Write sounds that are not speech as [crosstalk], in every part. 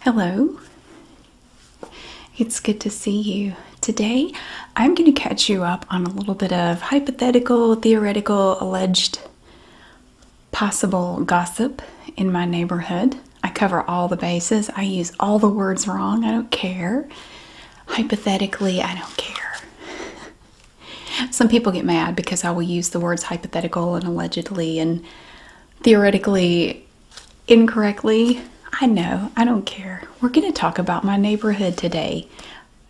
Hello. It's good to see you. Today, I'm going to catch you up on a little bit of hypothetical, theoretical, alleged, possible gossip in my neighborhood. I cover all the bases. I use all the words wrong. I don't care. Hypothetically, I don't care. Some people get mad because I will use the words hypothetical and allegedly and theoretically incorrectly. I know, I don't care. We're going to talk about my neighborhood today.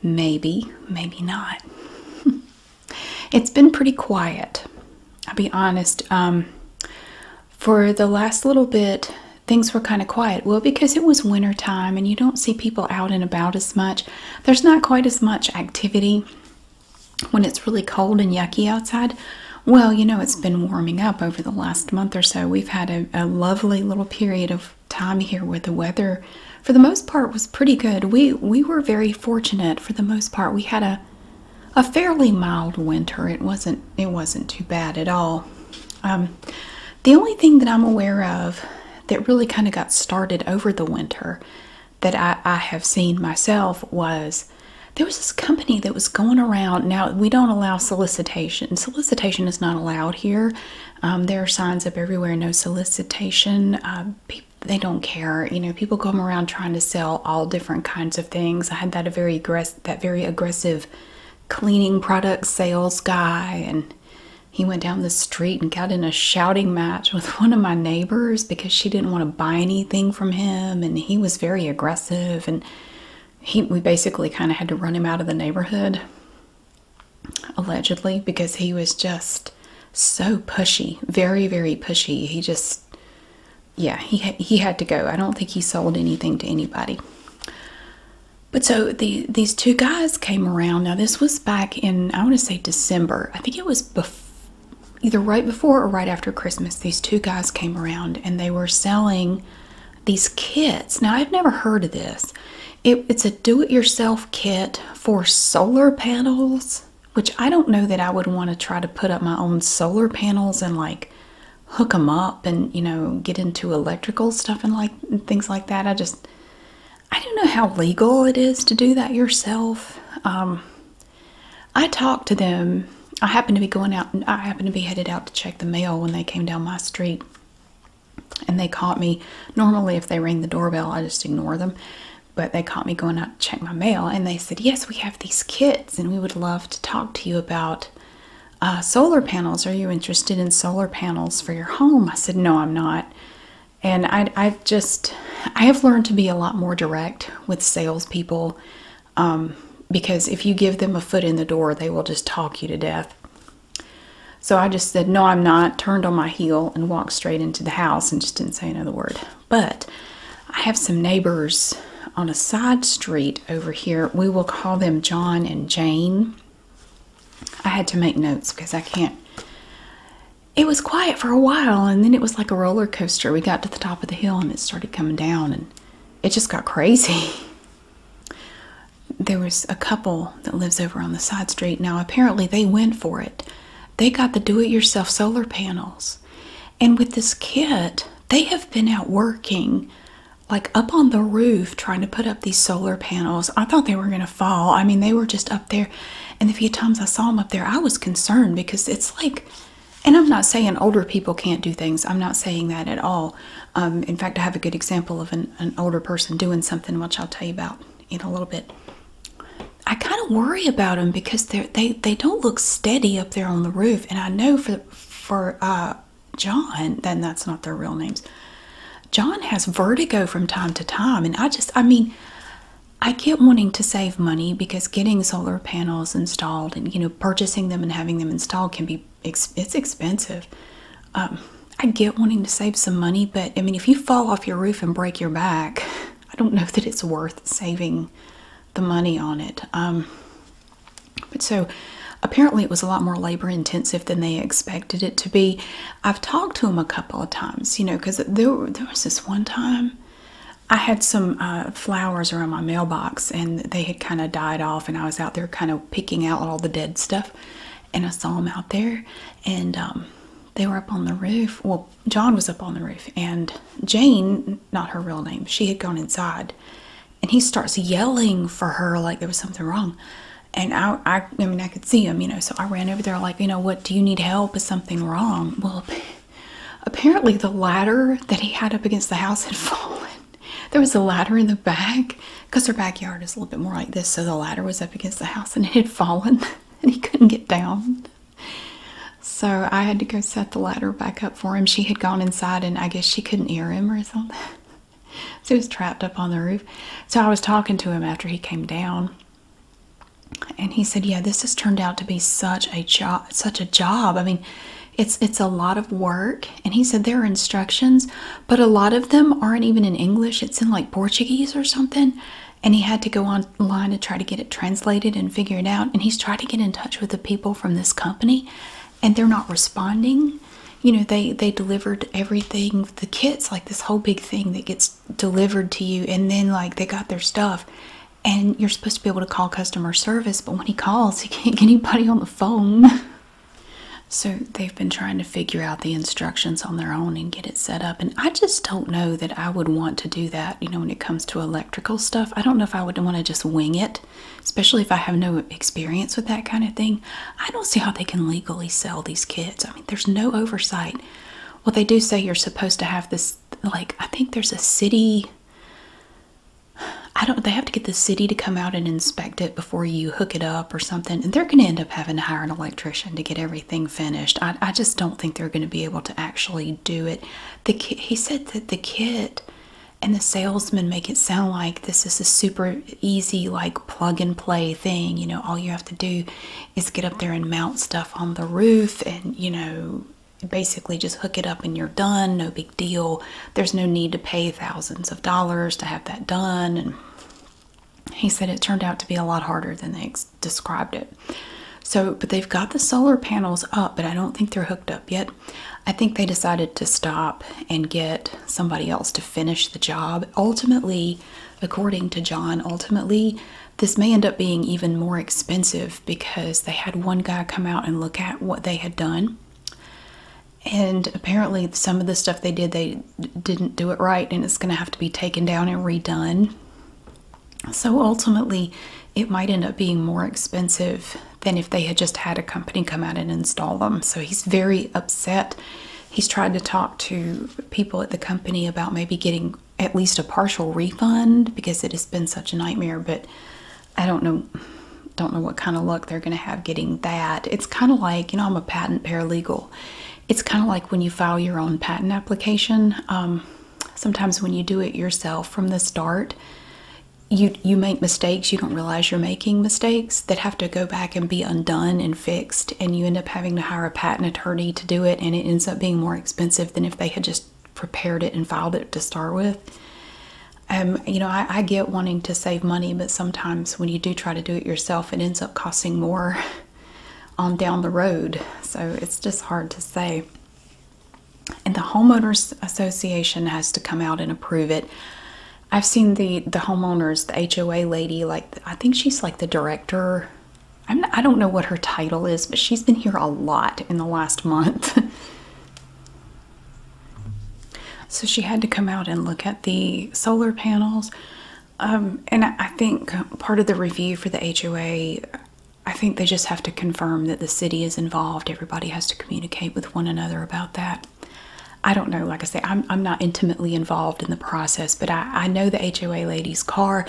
Maybe, maybe not. [laughs] it's been pretty quiet. I'll be honest. Um, for the last little bit, things were kind of quiet. Well, because it was winter time and you don't see people out and about as much, there's not quite as much activity when it's really cold and yucky outside. Well, you know, it's been warming up over the last month or so. We've had a, lovely little period of time here where the weather, for the most part, was pretty good. We we were very fortunate for the most part. We had a a fairly mild winter. It wasn't it wasn't too bad at all. Um, the only thing that I'm aware of that really kind of got started over the winter that I, I have seen myself was there was this company that was going around. Now, we don't allow solicitation. Solicitation is not allowed here. Um, there are signs up everywhere, no solicitation. Um, they don't care. You know, people come around trying to sell all different kinds of things. I had that a very aggressive, that very aggressive cleaning product sales guy, and he went down the street and got in a shouting match with [laughs] one of my neighbors because she didn't want to buy anything from him, and he was very aggressive, and he we basically kind of had to run him out of the neighborhood, allegedly, because he was just so pushy, very very pushy. He just, yeah, he he had to go. I don't think he sold anything to anybody. But so these two guys came around. Now this was back in I want to say December. I think it was before either right before or right after Christmas, these two guys came around and they were selling these kits. Now, I've never heard of this. it's a do it yourself kit for solar panels, which I don't know that I would want to try to put up my own solar panels and like hook them up and, you know, get into electrical stuff and like things like that. I just, I don't know how legal it is to do that yourself. Um, I talked to them. I happened to be going out I happened to be headed out to check the mail when they came down my street and they caught me. Normally, if they ring the doorbell, I just ignore them. But they caught me going out to check my mail and they said, Yes, we have these kits and we would love to talk to you about uh, solar panels. Are you interested in solar panels for your home? I said, No, I'm not. And I, just, I have learned to be a lot more direct with salespeople um, because if you give them a foot in the door, they will just talk you to death. So I just said, No, I'm not, turned on my heel and walked straight into the house and just didn't say another word. But I have some neighbors on a side street over here. We will call them John and Jane. I had to make notes because I can't. It was quiet for a while and then it was like a roller coaster. We got to the top of the hill and it started coming down and it just got crazy. [laughs] There was a couple that lives over on the side street. Now, apparently, they went for it. They got the do it yourself solar panels. And with this kit, they have been out working like up on the roof trying to put up these solar panels. I thought they were going to fall. I mean, they were just up there. And a few times I saw them up there, I was concerned because it's like and I'm not saying older people can't do things. I'm not saying that at all. Um, in fact, I have a good example of an, older person doing something, which I'll tell you about in a little bit. I kind of worry about them because they they don't look steady up there on the roof. And I know for for uh, John, then that's not their real names. John has vertigo from time to time, and I just I mean. I get wanting to save money because getting solar panels installed and you know purchasing them and having them installed can be it's expensive um, i get wanting to save some money but i mean if you fall off your roof and break your back [laughs] i don't know that it's worth saving the money on it um, but so apparently it was a lot more labor intensive than they expected it to be i've talked to them a couple of times you know because there was this one time I had some uh, flowers around my mailbox and they had kind of died off, and I was out there kind of picking out all the dead stuff. And I saw them out there, and um, they were up on the roof. Well, John was up on the roof, and Jane, not her real name, she had gone inside. And he starts yelling for her like there was something wrong. And I, I mean, I could see him, you know. So I ran over there, like, you know, what do you need help? Is something wrong? Well, Apparently, the ladder that he had up against the house had [laughs] fallen. There was a ladder in the back because their backyard is a little bit more like this, so the ladder was up against the house and it had fallen [laughs] and he couldn't get down. So I had to go set the ladder back up for him. She had gone inside and I guess she couldn't hear him or something. [laughs] So he was trapped up on the roof. So I was talking to him after he came down. And he said, "Yeah, this has turned out to be such a job. Such a job. I mean, it's it's a lot of work and he said there are instructions but a lot of them aren't even in english it's in like portuguese or something and he had to go online to try to get it translated and figure it out and he's trying to get in touch with the people from this company and they're not responding you know they they delivered everything the kits like this whole big thing that gets delivered to you and then like they got their stuff and you're supposed to be able to call customer service, but when he calls, he can't get anybody on the phone. [laughs] so they've been trying to figure out the instructions on their own and get it set up. And I just don't know that I would want to do that, you know, when it comes to electrical stuff. I don't know if I would want to just wing it, especially if I have no experience with that kind of thing. I don't see how they can legally sell these kits. I mean, there's no oversight. Well, they do say you're supposed to have this, like, I think there's a city I don't. They have to get the city to come out and inspect it before you hook it up or something, and they're going to end up having to hire an electrician to get everything finished. I, I just don't think they're going to be able to actually do it. The he said that the kit and the salesman make it sound like this is a super easy, like plug and play thing. You know, all you have to do is get up there and mount stuff on the roof, and you know, basically just hook it up and you're done, no big deal. There's no need to pay thousands of dollars to have that done. And he said it turned out to be a lot harder than they described it. So, but they've got the solar panels up, but I don't think they're hooked up yet. I think they decided to stop and get somebody else to finish the job. Ultimately, according to John, ultimately, this may end up being even more expensive because they had one guy come out and look at what they had done. And apparently, some of the stuff they did, they didn't do it right, and it's going to have to be taken down and redone. So ultimately, it might end up being more expensive than if they had just had a company come out and install them. So he's very upset. He's trying to talk to people at the company about maybe getting at least a partial refund because it has been such a nightmare, but I don't know don't know what kind of luck they're going to have getting that. It's kind of like, you know, I'm a patent paralegal. It's kind of like when you file your own patent application. Um, sometimes when you do it yourself from the start, you you make mistakes. You don't realize you're making mistakes that have to go back and be undone and fixed, and you end up having to hire a patent attorney to do it, and it ends up being more expensive than if they had just prepared it and filed it to start with. Um, you know, I, get wanting to save money, but sometimes when you do try to do it yourself, it ends up costing more [laughs] on down the road. So it's just hard to say. And the homeowners association has to come out and approve it. I've seen the the homeowners, the HOA lady, like I think she's like the director. I'm I don't know what her title is, but she's been here a lot in the last month. [laughs] So she had to come out and look at the solar panels. Um, and I think part of the review for the HOA, I think they just have to confirm that the city is involved. Everybody has to communicate with one another about that. I don't know, like I say, I'm, I'm not intimately involved in the process, but I, I know the HOA lady's car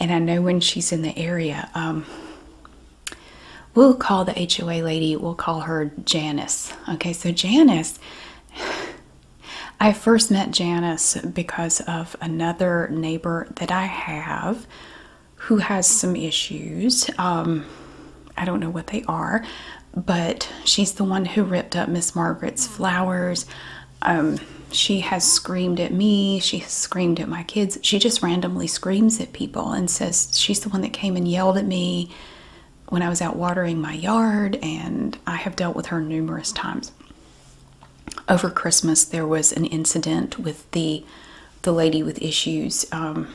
and I know when she's in the area. Um, We'll call the HOA lady, we'll call her Janice. Okay, so Janice, [sighs] I first met Janice because of another neighbor that I have who has some issues. Um, I don't know what they are, but she's the one who ripped up Miss Margaret's flowers. Um, she has screamed at me, she has screamed at my kids. She just randomly screams at people and says she's the one that came and yelled at me when I was out watering my yard, and I have dealt with her numerous times. Over Christmas, there was an incident with the the lady with issues. Um,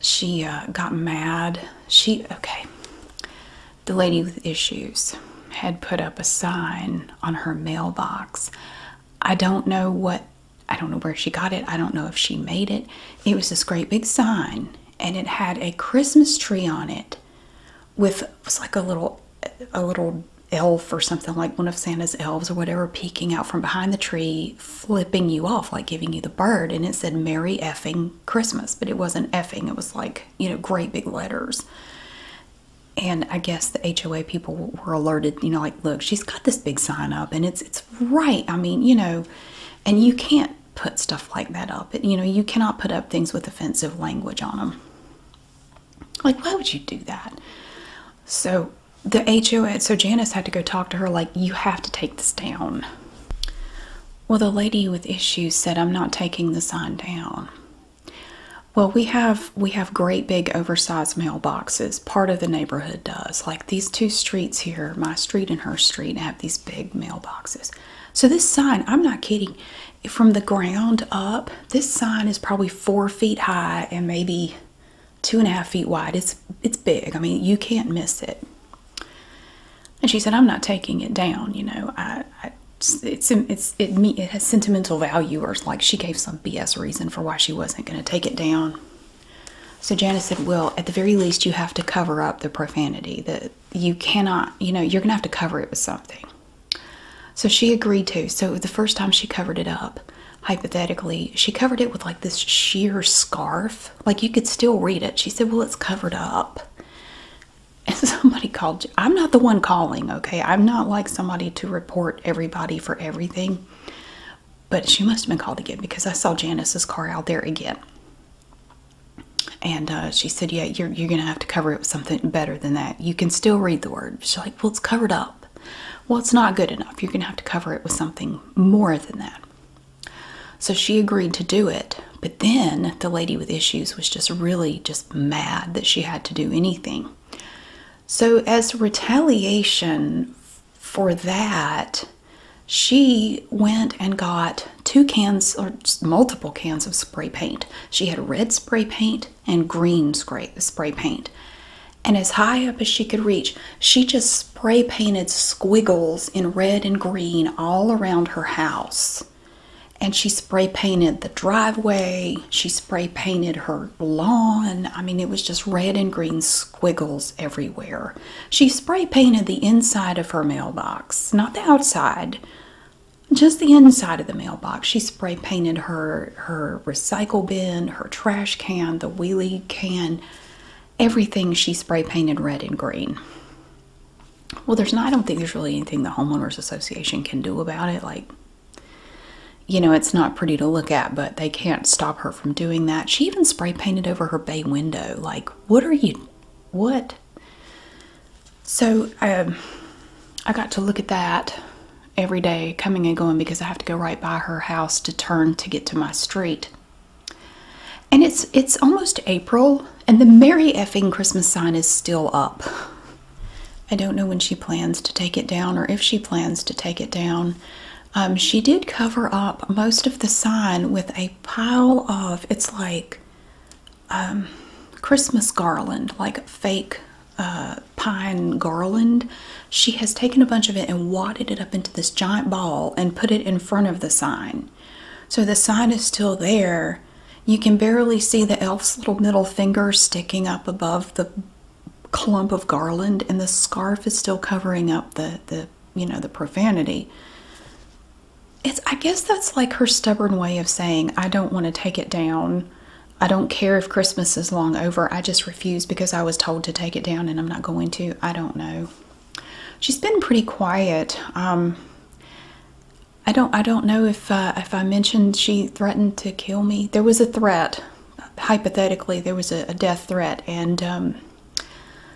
she uh, got mad. She okay. The lady with issues had put up a sign on her mailbox. I don't know what I don't know where she got it. I don't know if she made it. It was this great big sign, and it had a Christmas tree on it, with it was like a little, a little elf or something like one of Santa's elves or whatever peeking out from behind the tree, flipping you off, like giving you the bird. And it said "Merry effing Christmas," but it wasn't effing. It was like you know, great big letters. And I guess the HOA people were alerted. You know, like look, she's got this big sign up, and it's it's right. I mean, you know, and you can't put stuff like that up. You know, you cannot put up things with offensive language on them. Like, why would you do that? So the HOA, so Janice had to go talk to her, like, you have to take this down. Well, the lady with issues said, I'm not taking the sign down. Well, we have we have great big oversized mailboxes. Part of the neighborhood does. Like these two streets here, my street and her street, have these big mailboxes. So this sign, I'm not kidding, from the ground up, this sign is probably four feet high and maybe two and a half feet wide. It's it's big. I mean, you can't miss it. And she said, "I'm not taking it down. You know, I, it's it has sentimental value." Or like she gave some BS reason for why she wasn't going to take it down. So Janice said, Well, at the very least, you have to cover up the profanity. That you cannot, you know, you're going to have to cover it with something. So she agreed to. So the first time she covered it up, hypothetically, she covered it with like this sheer scarf. Like you could still read it. She said, Well, it's covered up. [laughs] And somebody called. I'm not the one calling, okay? I'm not like somebody to report everybody for everything. But she must have been called again because I saw Janice's car out there again. And uh, she said, Yeah, you're going to have to cover it with something better than that. You can still read the word. She's like, Well, it's covered up. Well, it's not good enough. You're going to have to cover it with something more than that. So she agreed to do it. But then the lady with issues was just really just mad that she had to do anything. So, as retaliation for that, she went and got two cans or multiple cans of spray paint. She had red spray paint and green spray, spray paint. And as high up as she could reach, she just spray painted squiggles in red and green all around her house. And she spray painted the driveway, she spray painted her lawn. I mean, it was just red and green squiggles everywhere. She spray painted the inside of her mailbox, not the outside, just the inside of the mailbox. She spray painted her her recycle bin, her trash can, the wheelie can, everything she spray painted red and green. Well, there's I don't think there's really anything the homeowners association can do about it like you know, it's not pretty to look at, but they can't stop her from doing that. She even spray painted over her bay window. Like, what are you? What? So um, I got to look at that every day, coming and going, because I have to go right by her house to turn to get to my street. And it's it's almost April, and the merry effing Christmas sign is still up. I don't know when she plans to take it down or if she plans to take it down. Um, she did cover up most of the sign with a pile of it's like um, Christmas garland, like fake uh, pine garland. She has taken a bunch of it and wadded it up into this giant ball and put it in front of the sign. So the sign is still there. You can barely see the elf's little middle finger sticking up above the clump of garland, and the scarf is still covering up the, the you know the profanity it's i guess that's like her stubborn way of saying i don't want to take it down i don't care if christmas is long over i just refuse because i was told to take it down and i'm not going to i don't know she's been pretty quiet um i don't i don't know if uh, if i mentioned she threatened to kill me there was a threat hypothetically there was a, a death threat and um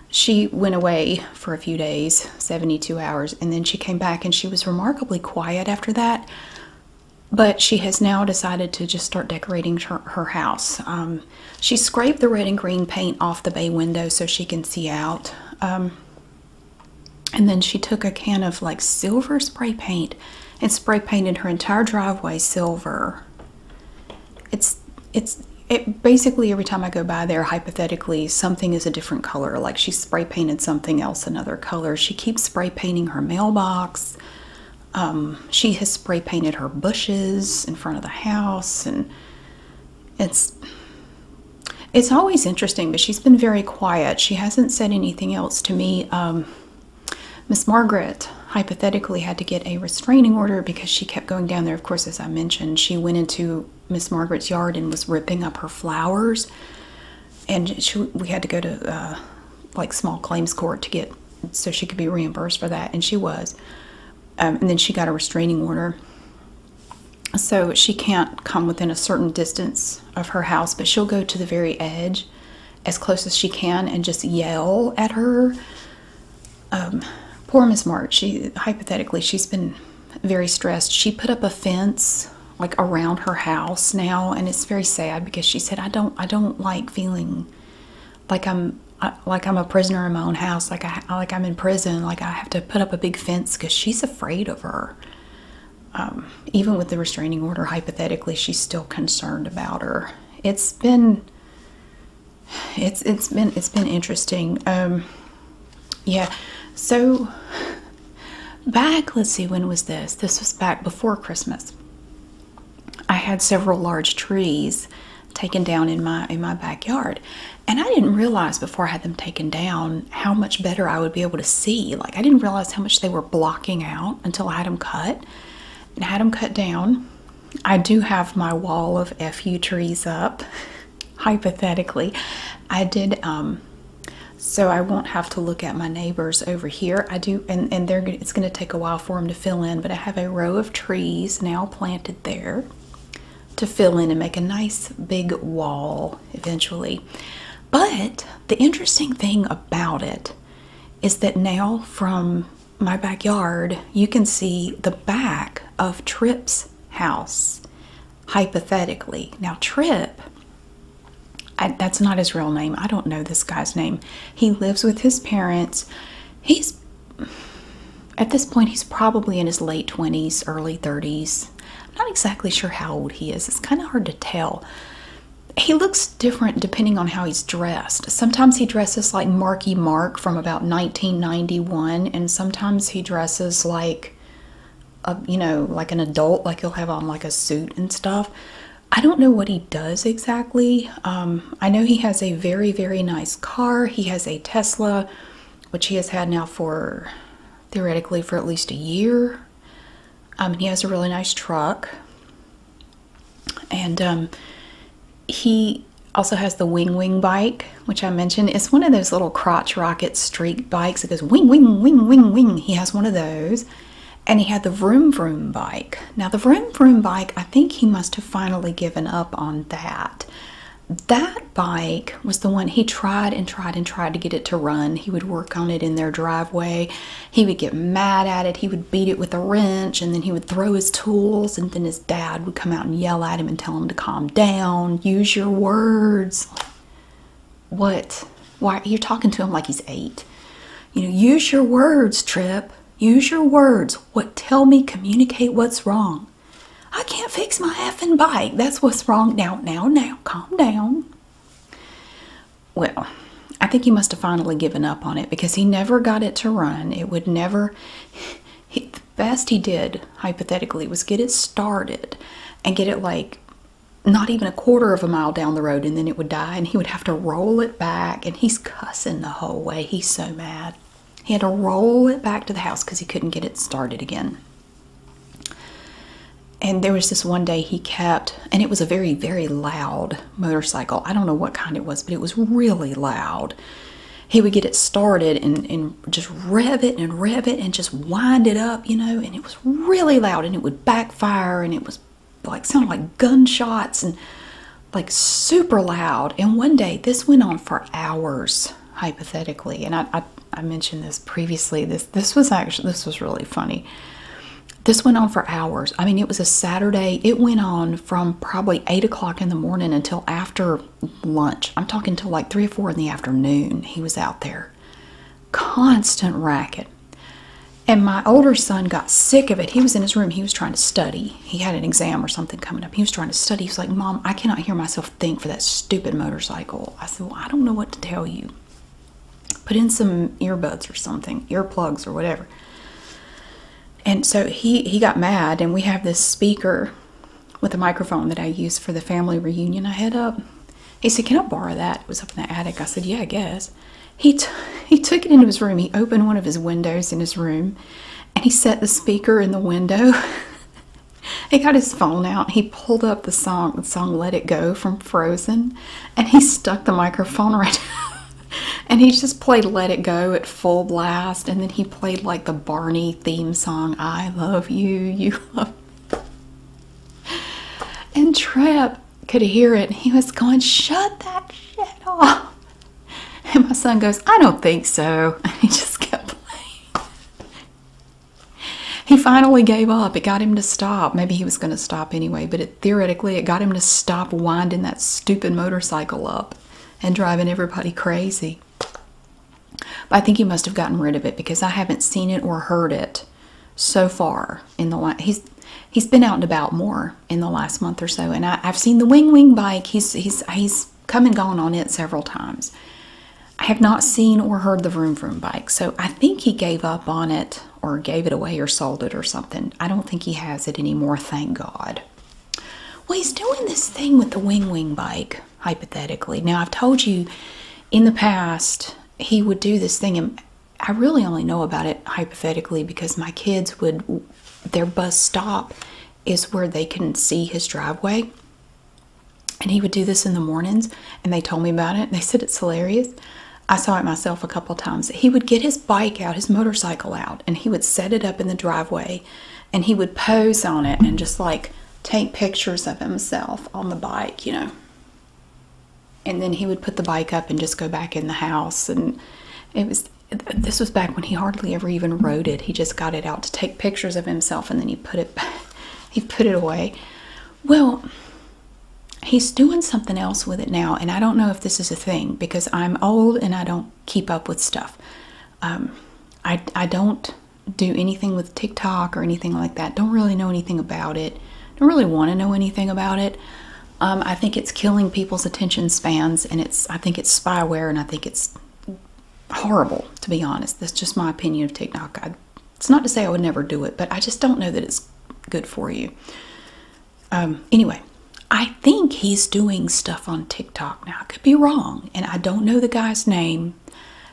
she went away for a few days, 72 hours, and then she came back and she was remarkably quiet after that. But she has now decided to just start decorating her, house. Um, she scraped the red and green paint off the bay window so she can see out. Um, and then she took a can of like silver spray paint and spray painted her entire driveway silver. It's it's it basically every time I go by there hypothetically something is a different color like she spray painted something else another color she keeps spray painting her mailbox um, she has spray painted her bushes in front of the house and it's it's always interesting but she's been very quiet she hasn't said anything else to me um, Miss Margaret hypothetically had to get a restraining order because she kept going down there. Of course, as I mentioned, she went into Miss Margaret's yard and was ripping up her flowers, and we had to go to uh, like small claims court to get so she could be reimbursed for that, and she was. Um, and then she got a restraining order, so she can't come within a certain distance of her house, but she'll go to the very edge as close as she can and just yell at her um, poor Miss March, she hypothetically she's been very stressed. She put up a fence like around her house now, and it's very sad because she said, "I don't, I don't like feeling like I'm." like I'm a prisoner in my own house, like I like I'm in prison, like I have to put up a big fence because she's afraid of her. Um, even with the restraining order, hypothetically, she's still concerned about her. It's been it's it's been it's been interesting. Um, yeah, so back let's see when was this? This was back before Christmas. I had several large trees taken down in my in my backyard and i didn't realize before i had them taken down how much better i would be able to see like i didn't realize how much they were blocking out until i had them cut and had them cut down I do have my wall of FU trees up. [laughs] Hypothetically, I did um so I won't have to look at my neighbors over here. I do and and they're it's going to take a while for them to fill in, but I have a row of trees now planted there to fill in and make a nice big wall eventually. But the interesting thing about it is that now from my backyard, you can see the back of Tripp's house, hypothetically. Now, Tripp, that's not his real name. I don't know this guy's name. He lives with his parents. He's, at this point, he's probably in his late 20s, early 30s. I'm not exactly sure how old he is. It's kind of hard to tell. He looks different depending on how he's dressed. Sometimes he dresses like Marky Mark from about 1991, and sometimes he dresses like a, you know, like an adult, like he'll have on like a suit and stuff. I don't know what he does exactly. Um, I know he has a very, very nice car. He has a Tesla, which he has had now for theoretically for at least a year. Um, he has a really nice truck, and um, he also has the Wing Wing bike, which I mentioned. It's one of those little crotch rocket street bikes. It goes wing, wing, wing, wing, wing. He has one of those. And he had the Vroom Vroom bike. Now, the Vroom Vroom bike, I think he must have finally given up on that. That bike was the one he tried and tried and tried to get it to run. He would work on it in their driveway. He would get mad at it. He would beat it with a wrench and then he would throw his tools and then his dad would come out and yell at him and tell him to calm down, use your words. What? Why are you talking to him like he's eight? You know, use your words, Trip. Use your words. What? Tell me, communicate what's wrong. I can't fix my effing bike. That's what's wrong now. Now, now, calm down. Well, I think he must have finally given up on it because he never got it to run. It would never the best he did, hypothetically, was get it started and get it like not even a quarter of a mile down the road and then it would die and he would have to roll it back and he's cussing the whole way. He's so mad. He had to roll it back to the house because he couldn't get it started again. And there was this one day he kept, and it was a very, very loud motorcycle. I don't know what kind it was, but it was really loud he would get it started and, and just rev it and rev it and just wind it up, you know, and it was really loud and it would backfire and it was like sounded like gunshots and like super loud. And one day this went on for hours, hypothetically. And I, I, I mentioned this previously. This this was actually this was really funny. This went on for hours. I mean, it was a Saturday. It went on from probably eight o'clock in the morning until after lunch. I'm talking till like three or four in the afternoon. He was out there. Constant racket. And my older son got sick of it. He was in his room. He was trying to study. He had an exam or something coming up. He was trying to study. He's like, Mom, I cannot hear myself think for that stupid motorcycle. I said, Well, I don't know what to tell you. Put in some earbuds or something, earplugs or whatever and so he he got mad and we have this speaker with a microphone that i use for the family reunion i had up he said can i borrow that it was up in the attic i said yeah i guess he he took it into his room he opened one of his windows in his room and he set the speaker in the window [laughs] he got his phone out he pulled up the song the song let it go from frozen and he stuck the microphone [laughs] right and he just played let it go at full blast and then he played like the Barney theme song, I love you, you And Trap could hear it. He was going, shut that shit off. And my son goes, I don't think so. [laughs] And he just kept playing. He finally gave up. It got him to stop. Maybe he was going to stop anyway, but it, theoretically, it got him to stop winding that stupid motorcycle up and driving everybody crazy. I think he must have gotten rid of it because I haven't seen it or heard it so far in the last. He's he's been out and about more in the last month or so, and I, I've seen the wing wing bike. He's he's he's come and gone on it several times. I have not seen or heard the Vroom Vroom bike, so I think he gave up on it or gave it away or sold it or something. I don't think he has it anymore, thank God. Well, he's doing this thing with the wing wing bike, hypothetically. Now, I've told you in the past he would do this thing, and I really only know about it hypothetically because my kids would, their bus stop is where they can see his driveway. And he would do this in the mornings, and they told me about it. They said it's hilarious. I saw it myself a couple times. He would get his bike out, his motorcycle out, and he would set it up in the driveway and he would pose on it and just like take pictures of himself on the bike, you know. And then he would put the bike up and just go back in the house. And it was, this was back when he hardly ever even rode it. He just got it out to take pictures of himself and then he put it back, [laughs] he put it away. Well, he's doing something else with it now. And I don't know if this is a thing because I'm old and I don't keep up with stuff. Um, I, I don't do anything with TikTok or anything like that. Don't really know anything about it. Don't really want to know anything about it. Um, I think it's killing people's attention spans, and it's I think it's spyware, and I think it's horrible to be honest. That's just my opinion of TikTok. it's not to say I would never do it, but I just don't know that it's good for you. Um, anyway, I I think he's doing stuff on TikTok now. I could be wrong, and I don't know the guy's name.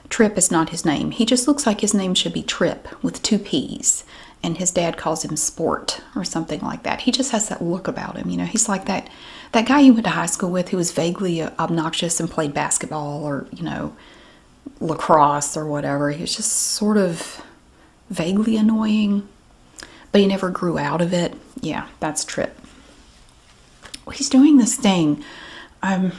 Trip is not his name. He just looks like his name should be Trip with two P's, and his dad calls him Sport or something like that. He just has that look about him. You know, he's like that that guy you went to high school with who was vaguely uh, obnoxious and played basketball or you know lacrosse or whatever. He was just sort of vaguely annoying, but he never grew out of it. Yeah, that's Trip he's doing this thing. Um,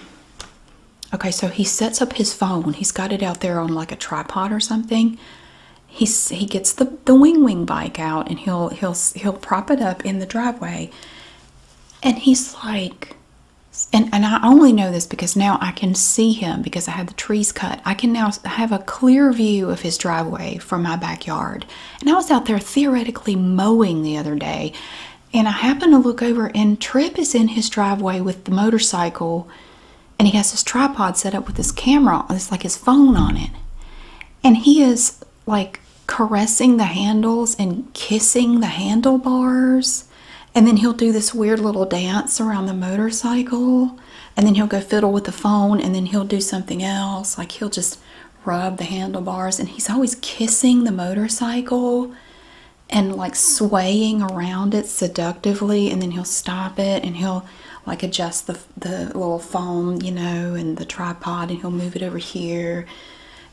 okay, so he sets up his phone. He's got it out there on like a tripod or something. He's, he gets the, the wing wing bike out and he'll he'll he'll prop it up in the driveway. And he's like, and, and I only know this because now I can see him because I had the trees cut. I can now have a clear view of his driveway from my backyard. And I was out there theoretically mowing the other day, and I happened to look over, and Trip is in his driveway with the motorcycle, and he has his tripod set up with his camera, it's like his phone on it. And he is like caressing the handles and kissing the handlebars. And then he'll do this weird little dance around the motorcycle. And then he'll go fiddle with the phone and then he'll do something else. Like he'll just rub the handlebars and he's always kissing the motorcycle and like swaying around it seductively and then he'll stop it and he'll like adjust the the little foam you know and the tripod and he'll move it over here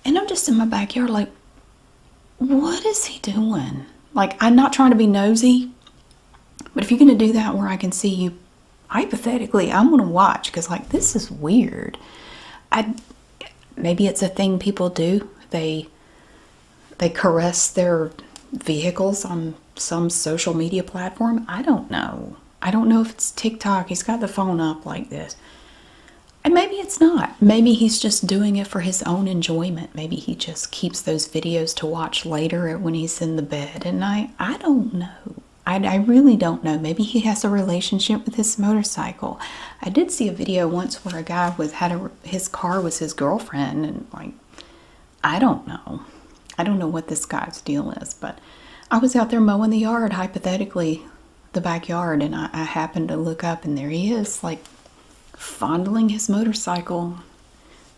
and i'm just in my backyard like what is he doing like i'm not trying to be nosy but if you're going to do that where i can see you hypothetically, I'm going to watch because, like, this is weird. I maybe it's a thing people do. They they caress their vehicles on some social media platform. I don't know. I don't know if it's TikTok. He's got the phone up like this. And maybe it's not. Maybe he's just doing it for his own enjoyment. Maybe he just keeps those videos to watch later when he's in the bed And I I don't know. I, really don't know. Maybe he has a relationship with his motorcycle. I did see a video once where a guy was had his car was his girlfriend, and like I don't know. I don't know what this guy's deal is, but I was out there mowing the yard, hypothetically, the backyard, and I happened to look up, and there he is, like fondling his motorcycle,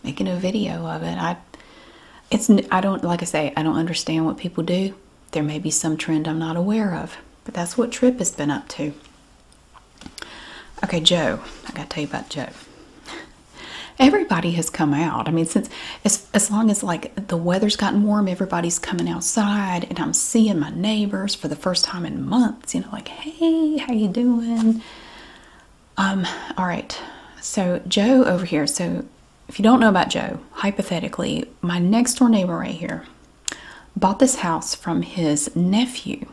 making a video of it. I it's I don't like I say I don't understand what people do. There may be some trend I'm not aware of, but that's what Trip has been up to. Okay, Joe, I gotta tell you about Joe. Everybody has come out. I mean, since as, as long as like the weather's gotten warm, everybody's coming outside, and I'm seeing my neighbors for the first time in months. You know, like, hey, how you doing? Um, all right. So Joe over here. So if you don't know about Joe, hypothetically, my next door neighbor right here bought this house from his nephew.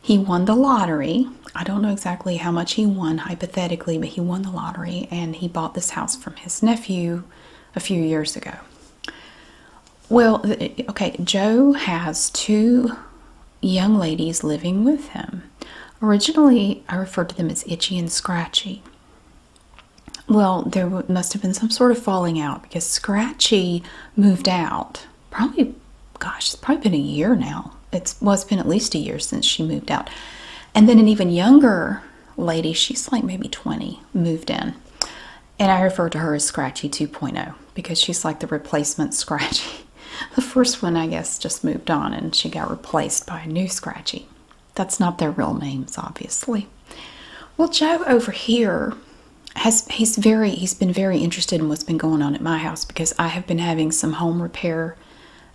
He won the lottery. I don't know exactly how much he won hypothetically, but he won the lottery and he bought this house from his nephew a few years ago. Well, eh, eh, okay, Joe has two young ladies living with him. Originally, I referred to them as Itchy and Scratchy. Well, there must have been some sort of falling out because Scratchy moved out. Probably, gosh, it's probably been a year now. It's well, it's been at least a year since she moved out. And then an even younger lady, she's like maybe 20, moved in. And I refer to her as Scratchy 2.0 because she's like the replacement Scratchy. [laughs] The first one, I guess, just moved on and she got replaced by a new Scratchy. That's not their real names, obviously. Well, Joe over here has he's very he's been very interested in what's been going on at my house because I have been having some home repair,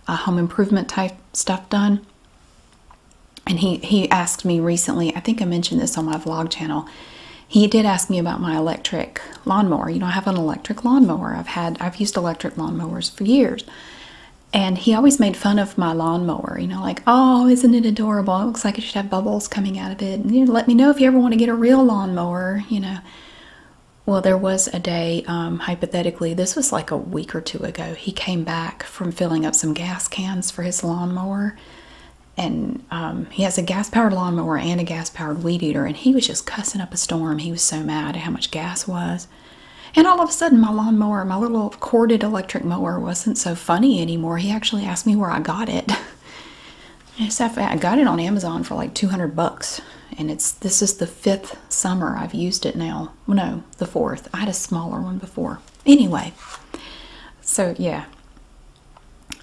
uh, home improvement type stuff done. And he he asked me recently. I think I mentioned this on my vlog channel. He did ask me about my electric lawnmower. You know, I have an electric lawnmower. I've had I've used electric lawnmowers for years and he always made fun of my lawnmower, you know, like, oh, isn't it adorable? It looks like it should have bubbles coming out of it. And you let me know if you ever want to get a real lawnmower, you know. Well, there was a day, um, hypothetically, this was like a week or two ago, he came back from filling up some gas cans for his lawnmower. And um, he has a gas powered lawnmower and a gas powered weed eater. And he was just cussing up a storm. He was so mad at how much gas was. And all of a sudden, my lawn mower, my little corded electric mower, wasn't so funny anymore. He actually asked me where I got it. [laughs] I got it on Amazon for like 200 bucks. And it's this is the fifth summer I've used it now. No, the fourth. I had a smaller one before. Anyway, so yeah.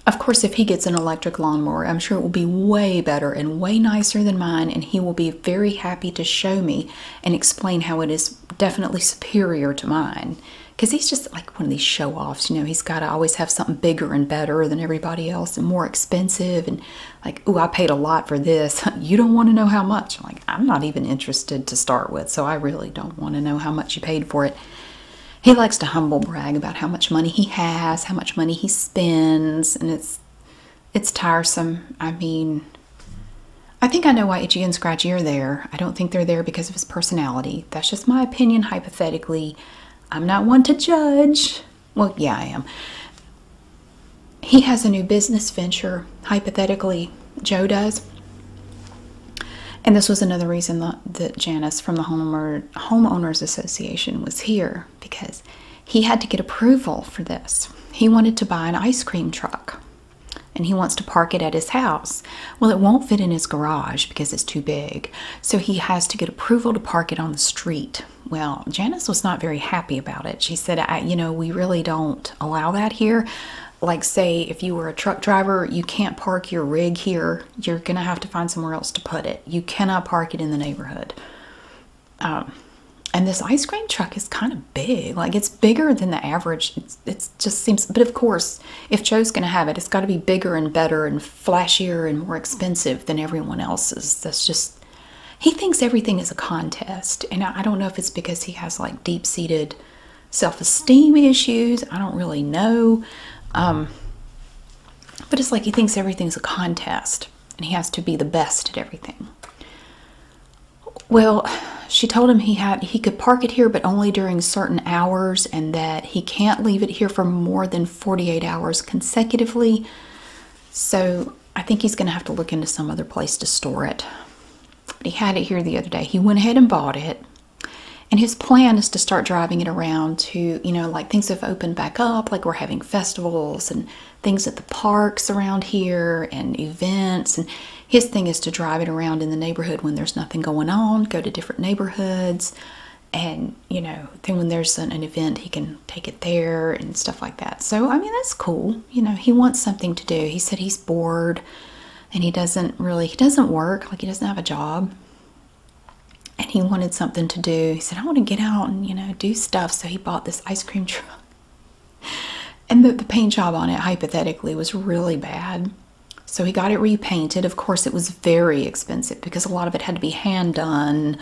Of course, if he gets an electric lawn mower, I'm sure it will be way better and way nicer than mine, and he will be very happy to show me and explain how it is definitely superior to mine because he's just like one of these show offs, you know, he's got to always have something bigger and better than everybody else and more expensive. And like, oh, I paid a lot for this. [laughs] you don't want to know how much. I'm like, I'm not even interested to start with, so I really don't want to know how much you paid for it. He likes to humble brag about how much money he has, how much money he spends, and it's it's tiresome. I mean, I think I know why Itchy and Scratchy are there. I don't think they're there because of his personality. That's just my opinion, hypothetically. I'm not one to judge. Well, yeah, I am. He has a new business venture, hypothetically. Joe does. And this was another reason that, Janice from the Homeowners Association was here because he had to get approval for this. He wanted to buy an ice cream truck and he wants to park it at his house. Well, it won't fit in his garage because it's too big, so he has to get approval to park it on the street. Well, Janice was not very happy about it. She said, You know, we really don't allow that here. Like, say, if you were a truck driver, you can't park your rig here. You're going to have to find somewhere else to put it. You cannot park it in the neighborhood. Um, and this ice cream truck is kind of big. Like, it's bigger than the average. It's, just seems, but of course, if Joe's going to have it, it's got to be bigger and better and flashier and more expensive than everyone else's. That's just, he thinks everything is a contest. And I don't know if it's because he has like deep seated self esteem issues. I don't really know. Um, but it's like he thinks everything's a contest and he has to be the best at everything. Well, she told him he had he could park it here but only during certain hours and that he can't leave it here for more than 48 hours consecutively. So, I think he's going to have to look into some other place to store it. But he had it here the other day. He went ahead and bought it. And his plan is to start driving it around to, you know, like things have opened back up, like we're having festivals and things at the parks around here and events. And his thing is to drive it around in the neighborhood when there's nothing going on, go to different neighborhoods, and you know, then when there's an, event, he can take it there and stuff like that. So, I mean, that's cool. You know, he wants something to do. He said he's bored and he doesn't really, he doesn't work, like, he doesn't have a job. And he wanted something to do. He said, I want to get out and, you know, do stuff. So he bought this ice cream truck and the, paint job on it, hypothetically, was really bad. So he got it repainted. Of course, it was very expensive because a lot of it had to be hand done.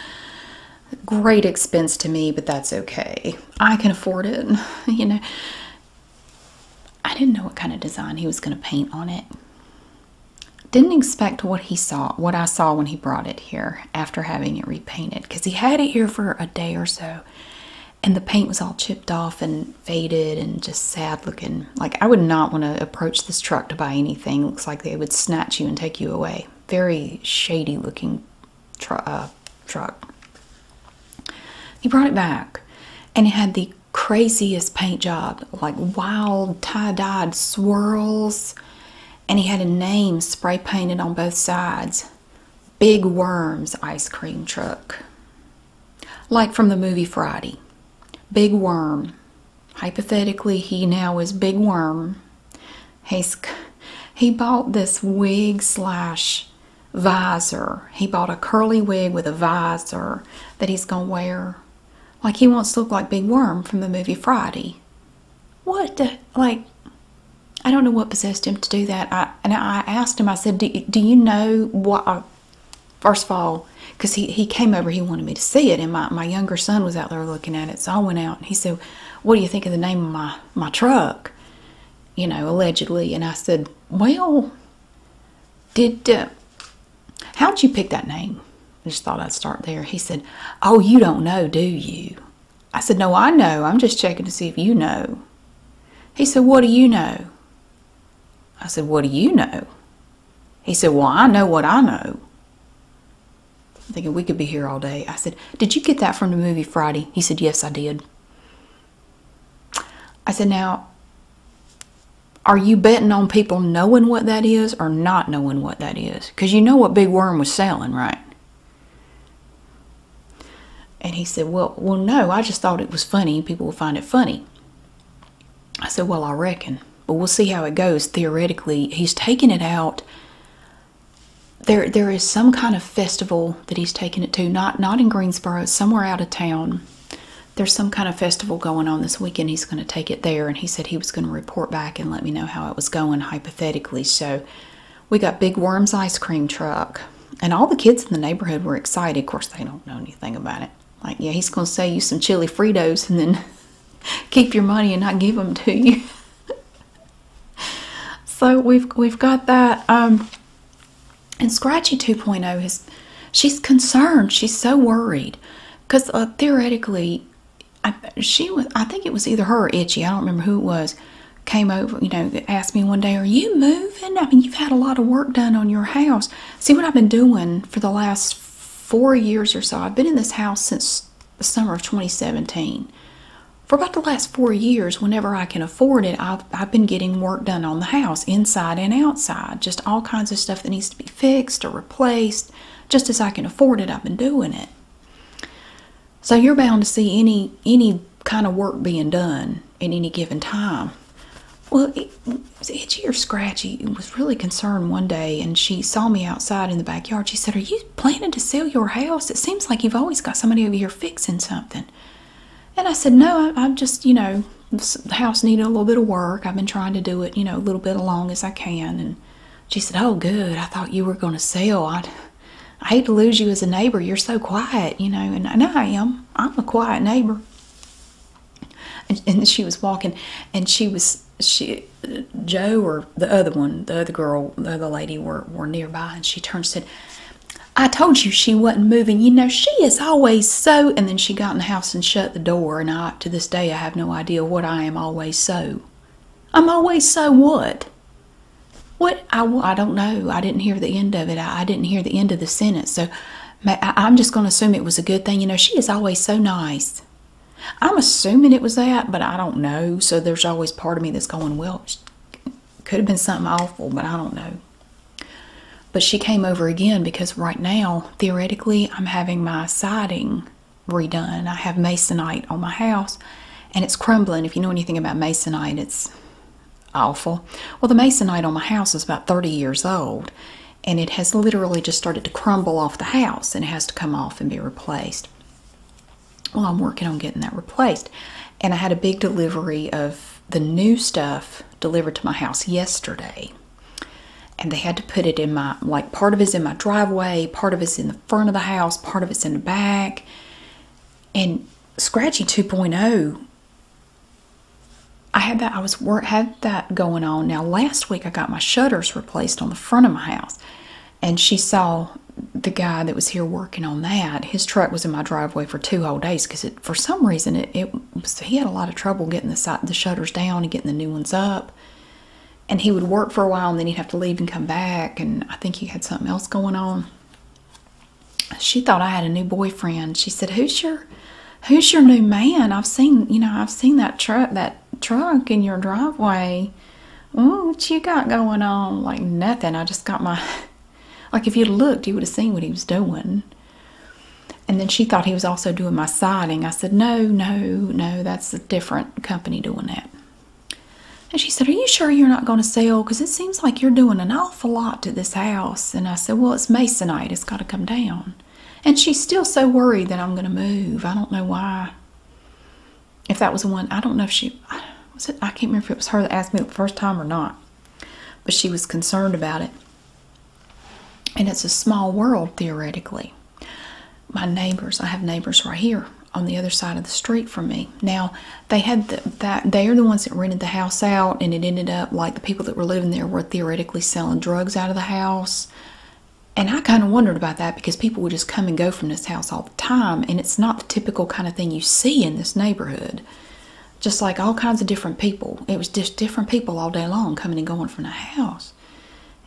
Great expense to me, but that's okay. I can afford it, [laughs] you know. I didn't know what kind of design he was going to paint on it. Didn't expect what he saw, what I saw when he brought it here after having it repainted because he had it here for a day or so and the paint was all chipped off and faded and just sad looking. Like I would not want to approach this truck to buy anything. Looks like they would snatch you and take you away. Very shady looking uh, truck. He brought it back and it had the craziest paint job, like wild tie-dyed swirls. And he had a name spray painted on both sides. Big Worms ice cream truck. Like from the movie Friday. Big Worm. Hypothetically, he now is Big Worm. He's, he bought this wig slash visor. He bought a curly wig with a visor that he's going to wear. Like he wants to look like Big Worm from the movie Friday. What? Like, I don't know what possessed him to do that. I, and I asked him, I said, do, you know what first of all, because he, he came over, he wanted me to see it, and my, my younger son was out there looking at it. So I went out and he said, What do you think of the name of my, my truck? You know, allegedly. And I said, Well, did, uh, how'd you pick that name? I just thought I'd start there. He said, Oh, you don't know, do you? I said, No, I know. I'm just checking to see if you know. He said, What do you know? I said, What do you know? He said, Well, I know what I know. thinking we could be here all day. I said, Did you get that from the movie Friday? He said, Yes, I did. I said, Now, are you betting on people knowing what that is or not knowing what that is? Because you know what Big Worm was selling, right? And he said, Well, well, no, I just thought it was funny. People will find it funny. I said, Well, I reckon, but we'll see how it goes. Theoretically, he's taking it out. There, there is some kind of festival that he's taking it to. Not, not in Greensboro. Somewhere out of town. There's some kind of festival going on this weekend. He's going to take it there, and he said he was going to report back and let me know how it was going hypothetically. So, we got Big Worms ice cream truck. And all the kids in the neighborhood were excited. Of course, they don't know anything about it. Like, yeah, he's going to sell you some chili Fritos and then [laughs] keep your money and not give them to you. [laughs] so we've we've got that. Um, and Scratchy 2.0 is she's concerned. She's so worried because uh, theoretically, I, she was. I think it was either her or Itchy. I don't remember who it was. Came over, you know, asked me one day, "Are you moved?" I mean, you've had a lot of work done on your house. See what I've been doing for the last four years or so. I've been in this house since the summer of 2017. For about the last four years, whenever I can afford it, I've, I've been getting work done on the house, inside and outside. Just all kinds of stuff that needs to be fixed or replaced. Just as I can afford it, I've been doing it. So you're bound to see any any kind of work being done at any given time. Well, it was itchy or scratchy. I was really concerned one day, and she saw me outside in the backyard. She said, Are you planning to sell your house? It seems like you've always got somebody over here fixing something. And I said, No, I, am just, you know, the house needed a little bit of work. I've been trying to do it, you know, a little bit along as I can. And she said, Oh, good. I thought you were going to sell. i I hate to lose you as a neighbor. You're so quiet, you know. and I am. I'm a quiet neighbor and, she was walking and she was she joe or the other one the other girl the other lady were, were nearby and she turned and said i told you she wasn't moving you know she is always so and then she got in the house and shut the door and i to this day i have no idea what i am always so i'm always so what what i, I don't know i didn't hear the end of it I didn't hear the end of the sentence so I'm just going to assume it was a good thing. You know, she is always so nice. I'm assuming it was that, but I don't know. So there's always part of me that's going, well, could have been something awful, but I don't know. But she came over again because right now, theoretically, I'm having my siding redone. I have masonite on my house and it's crumbling. If you know anything about masonite, it's awful. Well, the masonite on my house is about 30 years old and it has literally just started to crumble off the house and it has to come off and be replaced. Well, I'm working on getting that replaced. And I had a big delivery of the new stuff delivered to my house yesterday. And they had to put it in my, like, part of it's in my driveway, part of it's in the front of the house, part of it's in the back. And Scratchy 2.0 I had that I was had that going on. Now last week I got my shutters replaced on the front of my house, and she saw the guy that was here working on that. His truck was in my driveway for two whole days because it for some reason it, it was, he had a lot of trouble getting the shutters down and getting the new ones up. And he would work for a while and then he'd have to leave and come back. And I think he had something else going on she thought I had a new boyfriend. She said, "Who's your, who's your new man? I've seen, you know, I've seen that truck, that truck in your driveway. Oh, what you got going on? Like nothing. I just got my, [laughs] like if you looked, you would have seen what he was doing." And then she thought he was also doing my siding. I said, "No, no, no. That's a different company doing that." And she said, "Are you sure you're not going to sell? Because it seems like you're doing enough." awful lot to this house. And I said, Well, it's masonite. It's got to come down. And she's still so worried that I'm going to move. I don't know why. If that was the one, I don't know if she was it. I can't remember if it was her that asked me the first time or not. But she was concerned about it. And it's a small world, theoretically. My neighbors, I have neighbors right here on the other side of the street from me. Now, they had the, that, they are the ones that rented the house out, and it ended up like the people that were living there were theoretically selling drugs out of the house. And I kind of wondered about that because people would just come and go from this house all the time, and it's not the typical kind of thing you see in this neighborhood. Just like all kinds of different people. It was just different people all day long coming and going from the house.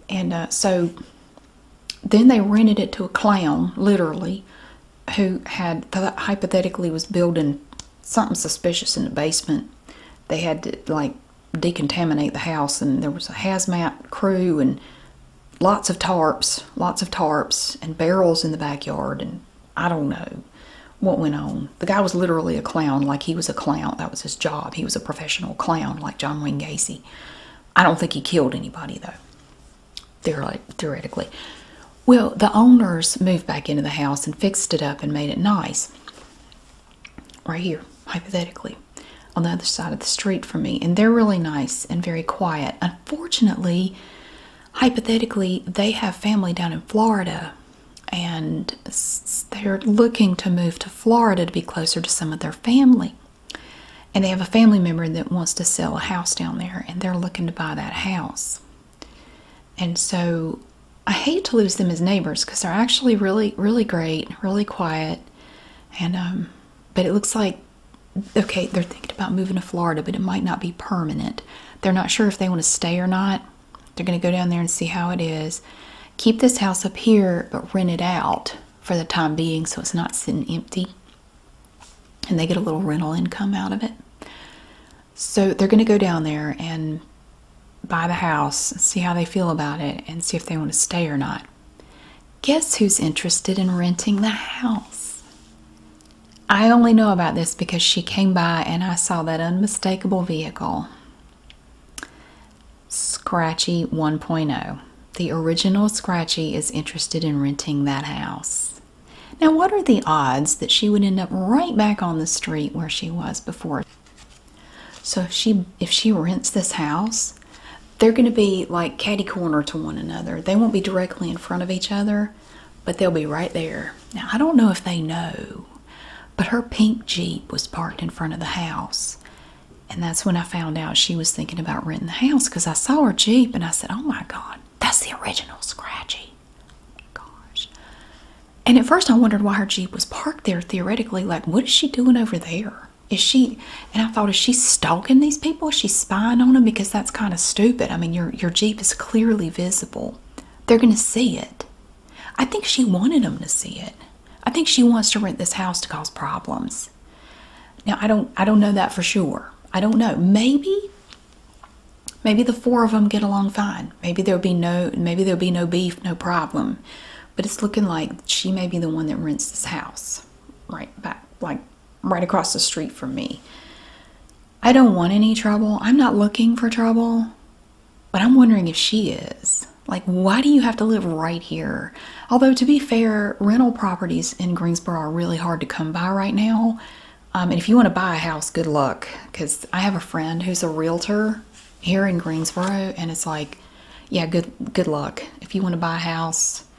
And uh, so then they rented it to a clown, literally, who had hypothetically was building something suspicious in the basement they had to like decontaminate the house, and there was a hazmat crew and lots of tarps, lots of tarps, and barrels in the backyard, and I don't know what went on. The guy was literally a clown, like he was a clown. That was his job. He was a professional clown, like John Wayne Gacy. I don't think he killed anybody though. Theoretically. Well, the owners moved back into the house and fixed it up and made it nice right here, hypothetically, on the other side of the street from me. And they're really nice and very quiet. Unfortunately, hypothetically, they have family down in Florida and they're looking to move to Florida to be closer to some of their family. And they have a family member that wants to sell a house down there and they're looking to buy that house. And so I hate to lose them as neighbors because they're actually really, really great, really quiet. And, um, but it looks like, okay, they're thinking about moving to Florida, but it might not be permanent. They're not sure if they want to stay or not. They're going to go down there and see how it is. Keep this house up here, but rent it out for the time being so it's not sitting empty. And they get a little rental income out of it. So they're going to go down there and buy the house, see how they feel about it, and see if they want to stay or not. Guess who's interested in renting the house? I only know about this because she came by and I saw that unmistakable vehicle. Scratchy 1.0. The original Scratchy is interested in renting that house. Now, what are the odds that she would end up right back on the street where she was before so if she if she rents this house, they're going to be like catty corner to one another. They won't be directly in front of each other, but they'll be right there. Now I don't know if they know, but her pink Jeep was parked in front of the house. And that's when I found out she was thinking about renting the house because I saw her Jeep and I said, Oh my God, that's the original Scratchy. Gosh. And at first I wondered why her Jeep was parked there theoretically. Like, what is she doing over there? Is she, and I thought, is she stalking these people? Is she spying on them? Because that's kind of stupid. I mean, your, your Jeep is clearly visible. They're going to see it. I think she wanted them to see it. I think she wants to rent this house to cause problems. Now, I don't, I don't know that for sure. I don't know. Maybe maybe the four of them get along fine. Maybe there'll be no maybe there'll be no beef, no problem. But it's looking like she may be the one that rents this house right back like right across the street from me. I don't want any trouble. I'm not looking for trouble. But I'm wondering if she is. Like, why do you have to live right here? Although, to be fair, rental properties in Greensboro are really hard to come by right now. Um, and if you want to buy a house, good luck. Because I have a friend who's a realtor here in Greensboro, and it's like, yeah, good good luck if you want to buy a house. [laughs]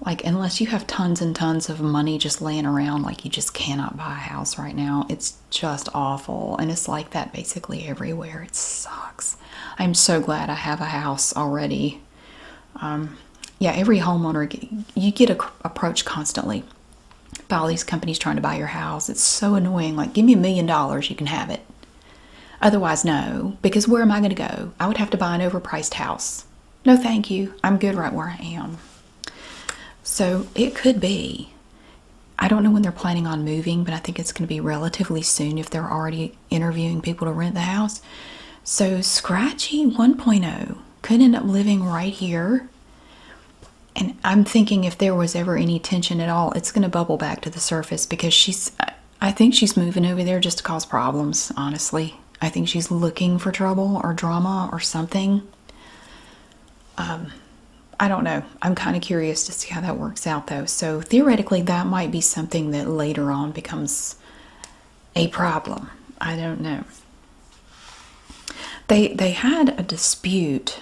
like unless you have tons and tons of money just laying around, like you just cannot buy a house right now. It's just awful, and it's like that basically everywhere. It sucks. I'm so glad I have a house already. Um, yeah, every homeowner you get approached constantly by all these companies trying to buy your house. It's so annoying. Like, give me a million dollars, you can have it. Otherwise, no, because where am I going to go? I would have to buy an overpriced house. No, thank you. I'm good right where I am. So it could be. I don't know when they're planning on moving, but I think it's going to be relatively soon if they're already interviewing people to rent the house. So Scratchy 1.0 could end up living right here and I'm thinking if there was ever any tension at all, it's going to bubble back to the surface because she's, I think she's moving over there just to cause problems, honestly. I think she's looking for trouble or drama or something. Um, I don't know. I'm kind of curious to see how that works out, though. So theoretically, that might be something that later on becomes a problem. I don't know. They they had a dispute,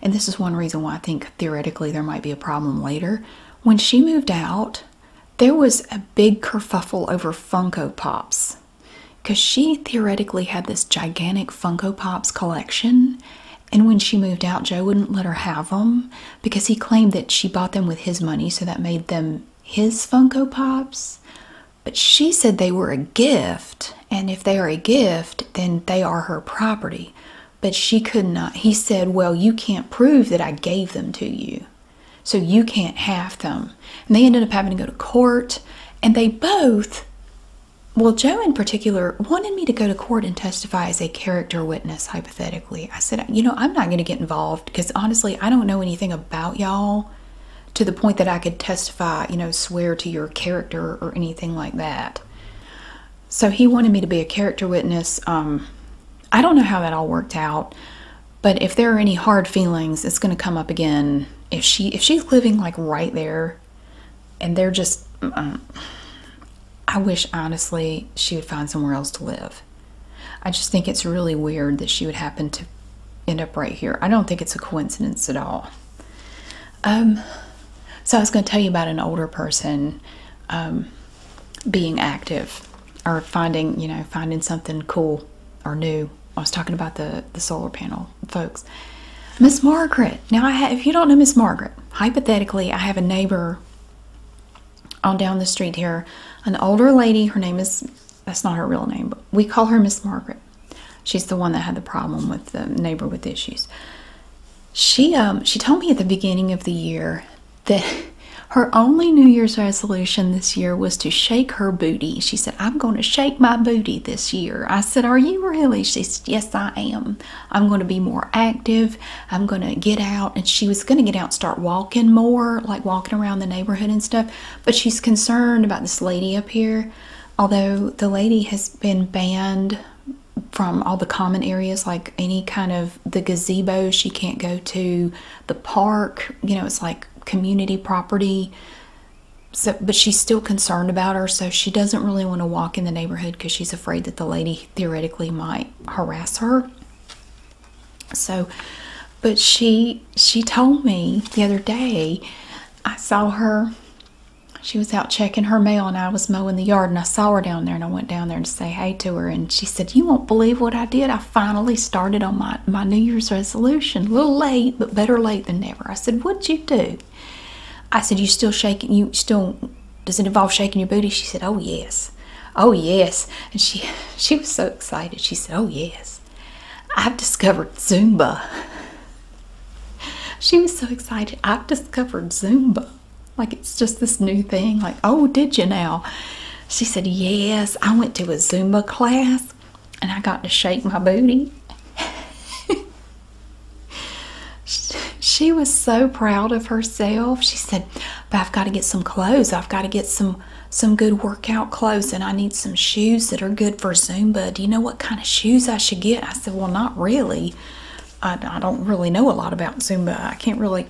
and this is one reason why I think theoretically there might be a problem later. When she moved out, there was a big kerfuffle over Funko Pops. Because she theoretically had this gigantic Funko Pops collection, and when she moved out, Joe wouldn't let her have them because he claimed that she bought them with his money, so that made them his Funko Pops. But she said they were a gift, and if they are a gift, then they are her property. But she could not. He said, Well, you can't prove that I gave them to you, so you can't have them. And they ended up having to go to court, and they both, well, Joe in particular, wanted me to go to court and testify as a character witness, hypothetically. I said, You know, I'm not going to get involved because honestly, I don't know anything about y'all to the point that I could testify, you know, swear to your character or anything like that. So he wanted me to be a character witness. Um, I don't know how that all worked out, but if there are any hard feelings, it's going to come up again. If she if she's living like right there, and they're just, I wish honestly she would find somewhere else to live. I just think it's really weird that she would happen to end up right here. I don't think it's a coincidence at all. Um, so I was going to tell you about an older person um, being active or finding, you know, finding something cool or new. I was talking about the the solar panel folks. Miss Margaret. Now, I if you don't know Miss Margaret, hypothetically, I have a neighbor on down the street here, an older lady. Her name is that's not her real name, but we call her Miss Margaret. She's the one that had the problem with the neighbor with issues. She um, she told me at the beginning of the year that [laughs] her only New Year's resolution this year was to shake her booty. She said, "I'm going to shake my booty this year." I said, "Are you really?" She said, "Yes, I am. I'm going to be more active. I'm going to get out." And she was going to get out, and start walking more, like walking around the neighborhood and stuff. But she's concerned about this lady up here. Although the lady has been banned from all the common areas, like any kind of the gazebo, she can't go to the park, you know, it's like community property. So, but she's still concerned about her, so she doesn't really want to walk in the neighborhood because she's afraid that the lady theoretically might harass her. So, but she she told me the other day, I saw her she was out checking her mail and I was mowing the yard and I saw her down there and I went down there to say hey to her and she said, You won't believe what I did. I finally started on my, my New Year's resolution. A little late, but better late than never. I said, What'd you do? I said, You still shaking you still does it involve shaking your booty? She said, Oh yes. Oh yes. And she [laughs] she was so excited. She said, Oh yes. I've discovered Zumba. [laughs] she was so excited. I've discovered Zumba. Like it's just this new thing. Like, oh, did you now? She said, Yes, I went to a Zumba class and I got to shake my booty. she was so proud of herself. She said, But I've got to get some clothes. I've got to get some some good workout clothes and I need some shoes that are good for Zumba. Do you know what kind of shoes I should get? I said, Well, not really. I, don't really know a lot about Zumba. I can't really,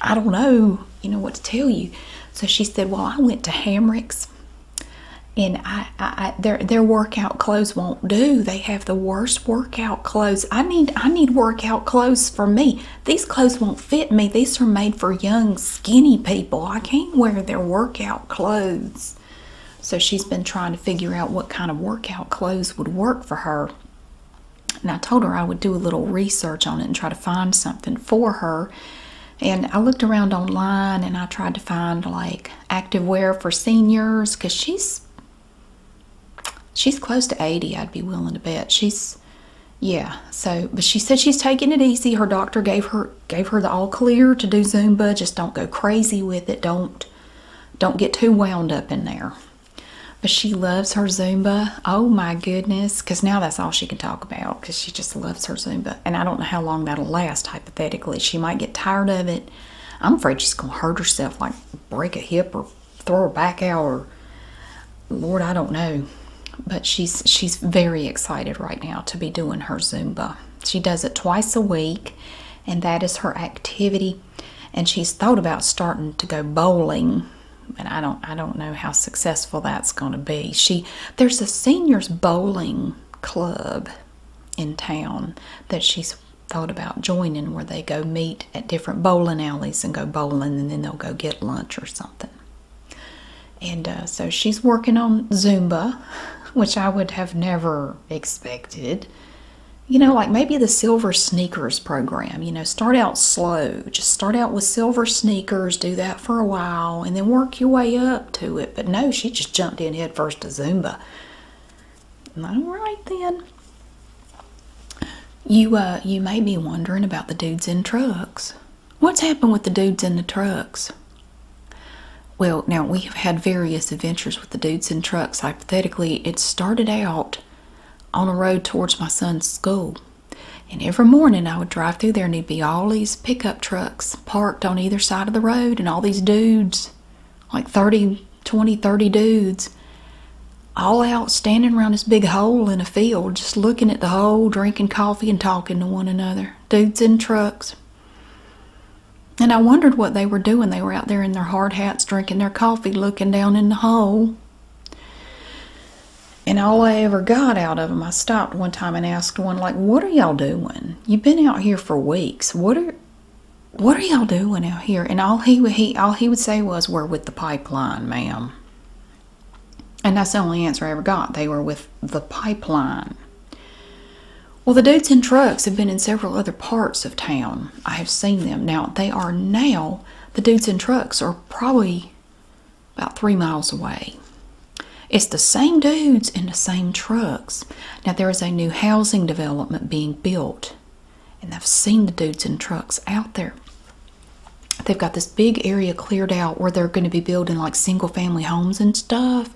I don't know, you know, what to tell you. So she said, Well, I went to Hamrick's and I, their their workout clothes won't do. They have the worst workout clothes. I need I need workout clothes for me. These clothes won't fit me. These are made for young skinny people. I can't wear their workout clothes. So she's been trying to figure out what kind of workout clothes would work for her. And I told her I would do a little research on it and try to find something for her. And I looked around online and I tried to find like activewear for seniors because she's she's close to 80, I'd be willing to bet. She's yeah, so but she said she's taking it easy. Her doctor gave her gave her the all clear to do Zumba. Just don't go crazy with it. Don't don't get too wound up in there. But she loves her Zumba. Oh my goodness. Because now that's all she can talk about because she just loves her Zumba. And I don't know how long that'll last, hypothetically. She might get tired of it. I'm afraid she's going to hurt herself, like break a hip or throw her back out or Lord, I don't know. But she's she's very excited right now to be doing her Zumba. She does it twice a week and that is her activity. And she's thought about starting to go bowling, and I don't I don't know how successful that's going to be. She there's a seniors bowling club in town that she's thought about joining where they go meet at different bowling alleys and go bowling and then they'll go get lunch or something. And uh, so she's working on Zumba, [laughs] which I would have never expected. You know, like maybe the silver sneakers program, you know, start out slow. Just start out with silver sneakers, do that for a while, and then work your way up to it. But no, she just jumped in headfirst to Zumba. All right then. You uh you may be wondering about the dudes in trucks. What's happened with the dudes in the trucks? Well, now we have had various adventures with the dudes in trucks. Hypothetically, it started out on a road towards my son's school. And every morning I would drive through there and there'd be all these pickup trucks parked on either side of the road and all these dudes, like thirty, twenty, thirty dudes, all out standing around this big hole in a field, just looking at the hole, drinking coffee and talking to one another. Dudes in trucks. And I wondered what they were doing. They were out there in their hard hats drinking their coffee, looking down in the hole. And all I ever got out of them, I stopped one time and asked one, like, what are y'all doing? You've been out here for weeks. What are what are y'all doing out here? And all he he all he would say was, We're with the pipeline, ma'am. And that's the only answer I ever got. They were with the pipeline. Well, the dudes and trucks have been in several other parts of town. I have seen them. Now, they are now, the dudes and trucks are probably about three miles away. It's the same dudes and the same trucks. Now, there is a new housing development being built, and I've seen the dudes and trucks out there. They've got this big area cleared out where they're going to be building like single family homes and stuff.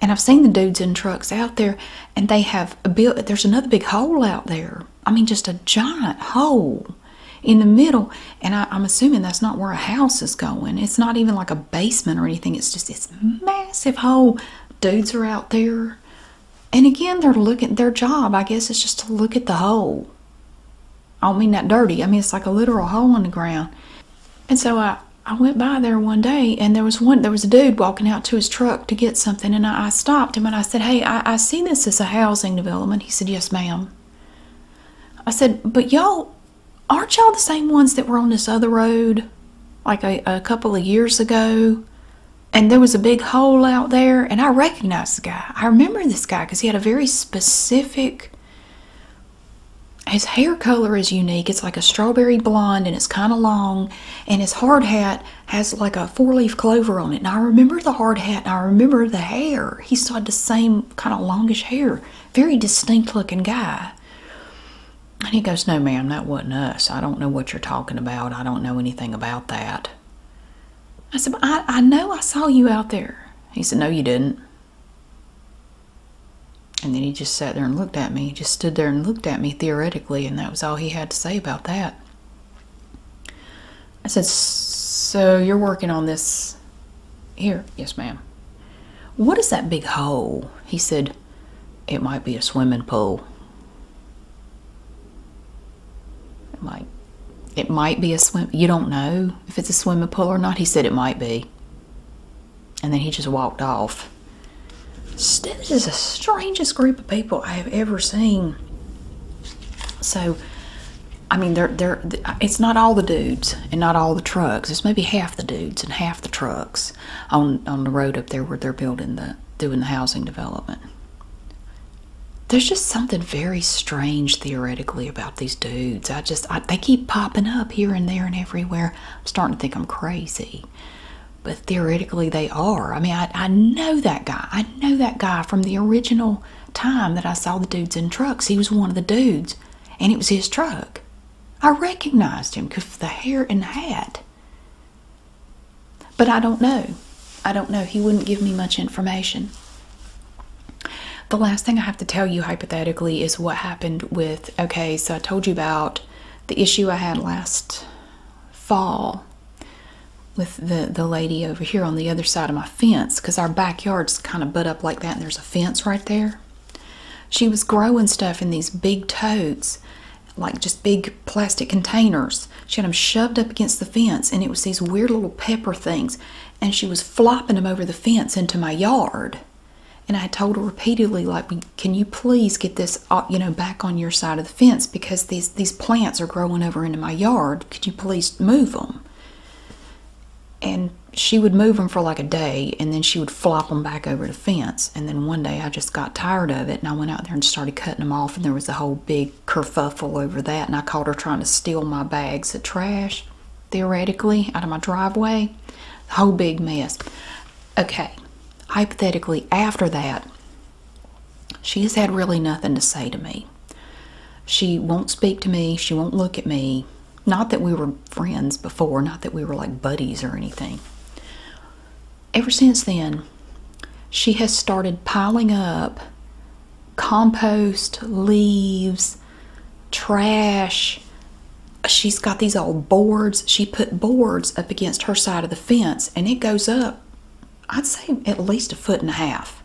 And I've seen the dudes in trucks out there, and they have a built. There's another big hole out there. I mean, just a giant hole in the middle. And I, am assuming that's not where a house is going. It's not even like a basement or anything. It's just this massive hole. Dudes are out there, and again, they're looking. Their job, I guess, is just to look at the hole. I don't mean that dirty. I mean it's like a literal hole in the ground. And so I, I went by there one day and there was one there was a dude walking out to his truck to get something and I, stopped him and I said, Hey, I, see this as a housing development. He said, Yes, ma'am. I said, But y'all aren't y'all the same ones that were on this other road like a couple of years ago? And there was a big hole out there and I recognized the guy. I remember this guy because he had a very specific his hair color is unique. It's like a strawberry blonde and it's kind of long and his hard hat has like a four leaf clover on it. And I remember the hard hat and I remember the hair. He still had the same kind of longish hair. Very distinct looking guy. And he goes, No, ma'am, that wasn't us. I don't know what you're talking about. I don't know anything about that. I said, I know I saw you out there. He said, No, you didn't. And then he just sat there and looked at me. He just stood there and looked at me theoretically, and that was all he had to say about that. I said, So you're working on this here? Yes, ma'am. What is that big hole? He said, It might be a swimming pool. It might. It might be a swim. You don't know if it's a swimming pool or not. He said it might be. And then he just walked off. This is the strangest group of people I have ever seen. So, I mean, they're, they're, it's not all the dudes and not all the trucks. It's maybe half the dudes and half the trucks on, on the road up there where they're building the, doing the housing development. There's just something very strange theoretically about these dudes. I just, I, they keep popping up here and there and everywhere. I'm starting to think I'm crazy but theoretically they are. I mean, I, I know that guy. I know that guy from the original time that I saw the dudes in trucks. He was one of the dudes, and it was his truck. I recognized him because of the hair and the hat. But I don't know. I don't know. He wouldn't give me much information. The last thing I have to tell you hypothetically is what happened with okay, so I told you about the issue I had last fall with the, the lady over here on the other side of my fence because our backyard's kind of butt up like that and there's a fence right there. She was growing stuff in these big totes, like just big plastic containers. She had them shoved up against the fence and it was these weird little pepper things and she was flopping them over the fence into my yard. And I told her repeatedly, like, can you please get this uh, you know back on your side of the fence because these these plants are growing over into my yard could you please move them and she would move them for like a day and then she would flop them back over the fence and then one day i just got tired of it and i went out there and started cutting them off and there was a whole big kerfuffle over that and i caught her trying to steal my bags of trash theoretically out of my driveway whole big mess Okay, hypothetically, after that, she has had really nothing to say to me. She won't speak to me, she won't look at me. Not that we were friends before, not that we were like buddies or anything. Ever since then, she has started piling up compost, leaves, trash. She's got these all boards. She put boards up against her side of the fence, and it goes up, I'd say, at least a foot and a half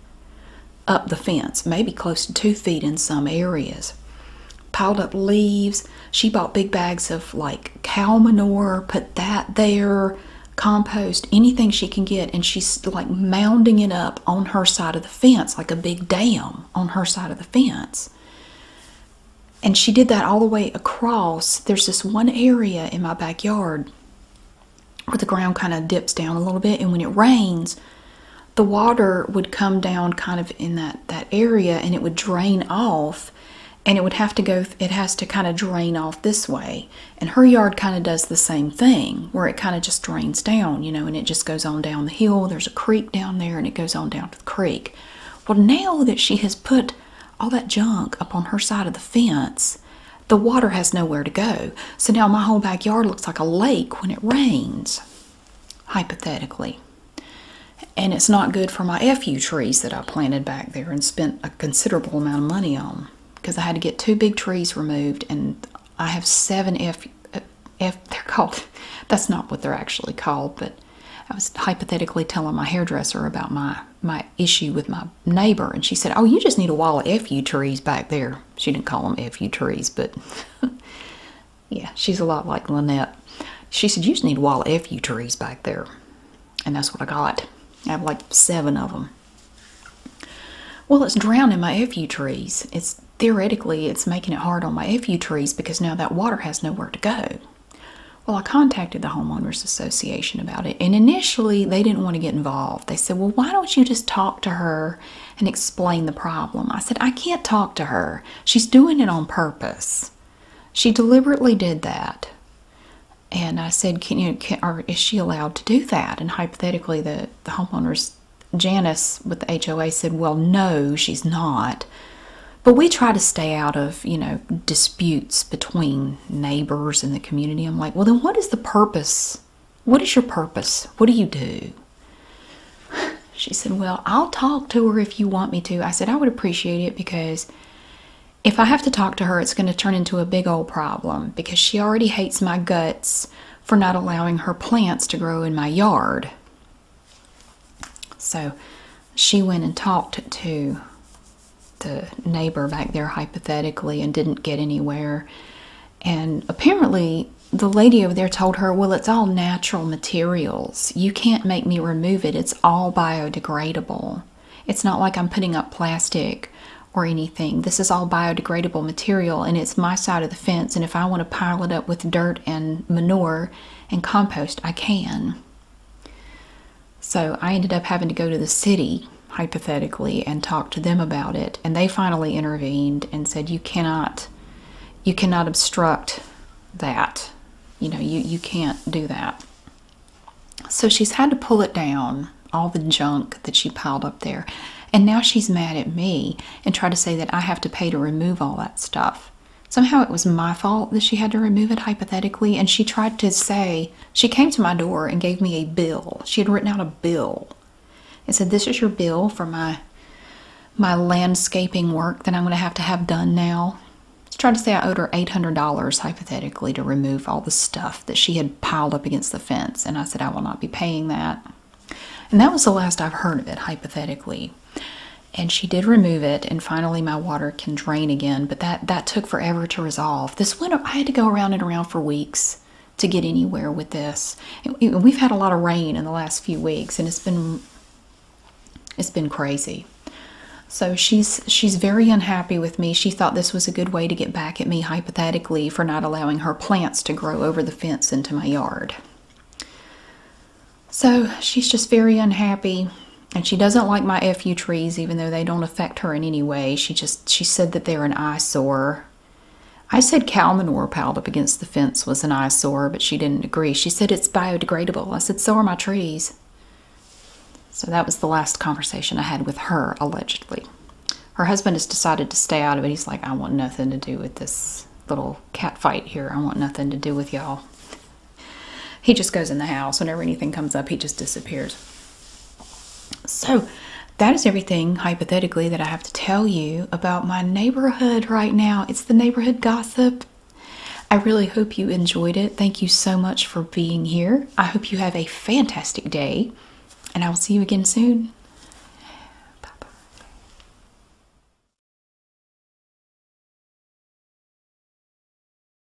up the fence, maybe close to two feet in some areas. Piled up leaves. She bought big bags of like cow manure, put that there, compost, anything she can get, and she's like mounding it up on her side of the fence, like a big dam on her side of the fence. And she did that all the way across. There's this one area in my backyard where the ground kind of dips down a little bit, and when it rains, the water would come down kind of in that that area, and it would drain off, and it would have to go. It has to kind of drain off this way, and her yard kind of does the same thing, where it kind of just drains down, you know, and it just goes on down the hill. There's a creek down there, and it goes on down to the creek. Well, now that she has put all that junk up on her side of the fence, the water has nowhere to go. So now my whole backyard looks like a lake when it rains, hypothetically. And it's not good for my FU trees that I planted back there and spent a considerable amount of money on because I had to get two big trees removed and I have seven F, uh, F they're called, [laughs] that's not what they're actually called, but I was hypothetically telling my hairdresser about my my issue with my neighbor and she said oh you just need a wall of fu trees back there she didn't call them fu trees but [laughs] yeah she's a lot like lynette she said you just need a wall of fu trees back there and that's what i got i have like seven of them well it's drowning my fu trees it's theoretically it's making it hard on my fu trees because now that water has nowhere to go well, I contacted the Homeowners Association about it, and initially they didn't want to get involved. They said, Well, why don't you just talk to her and explain the problem? I said, I can't talk to her. She's doing it on purpose. She deliberately did that. And I said, Can you, or is she allowed to do that? And hypothetically, the, the homeowners, Janice with the HOA, said, Well, no, she's not. But we try to stay out of, you know, disputes between neighbors in the community. I'm like, well, then what is the purpose? What is your purpose? What do you do? [sighs] She said, well, I'll talk to her if you want me to. I said, I would appreciate it because if I have to talk to her, it's going to turn into a big old problem because she already hates my guts for not allowing her plants to grow in my yard. So she went and talked to the neighbor back there hypothetically and didn't get anywhere. And apparently, the lady over there told her, Well, it's all natural materials. You can't make me remove it. It's all biodegradable. It's not like I'm putting up plastic or anything. This is all biodegradable material and it's my side of the fence. And if I want to pile it up with dirt and manure and compost, I can. So I ended up having to go to the city, hypothetically, and talk to them about it. And they finally intervened and said, you cannot, you cannot obstruct that. You know, you, you can't do that. So she's had to pull it down, all the junk that she piled up there. And now she's mad at me and tried to say that I have to pay to remove all that stuff. Somehow it was my fault that she had to remove it hypothetically, and she tried to say she came to my door and gave me a bill. She had written out a bill and said, This is your bill for my my landscaping work that I'm going to have to have done now. She tried to say I owed her $800 hypothetically to remove all the stuff that she had piled up against the fence. And I said, I will not be paying that. And that was the last I've heard of it, hypothetically. And she did remove it. And finally, my water can drain again, but that that took forever to resolve. This winter, I had to go around and around for weeks to get anywhere with this. And we've had a lot of rain in the last few weeks, and it's been it's been crazy. So she's she's very unhappy with me. She thought this was a good way to get back at me hypothetically for not allowing her plants to grow over the fence into my yard. So she's just very unhappy and she doesn't like my FU trees even though they don't affect her in any way. She just she said that they're an eyesore. I said cow manure piled up against the fence was an eyesore, but she didn't agree. She said it's biodegradable. I said so are my trees. So that was the last conversation I had with her allegedly. Her husband has decided to stay out of it. He's like I want nothing to do with this little cat fight here. I want nothing to do with y'all. He just goes in the house. Whenever anything comes up, he just disappears. So, that is everything hypothetically that I have to tell you about my neighborhood right now. It's the neighborhood gossip. I really hope you enjoyed it. Thank you so much for being here. I hope you have a fantastic day, and I will see you again soon. Bye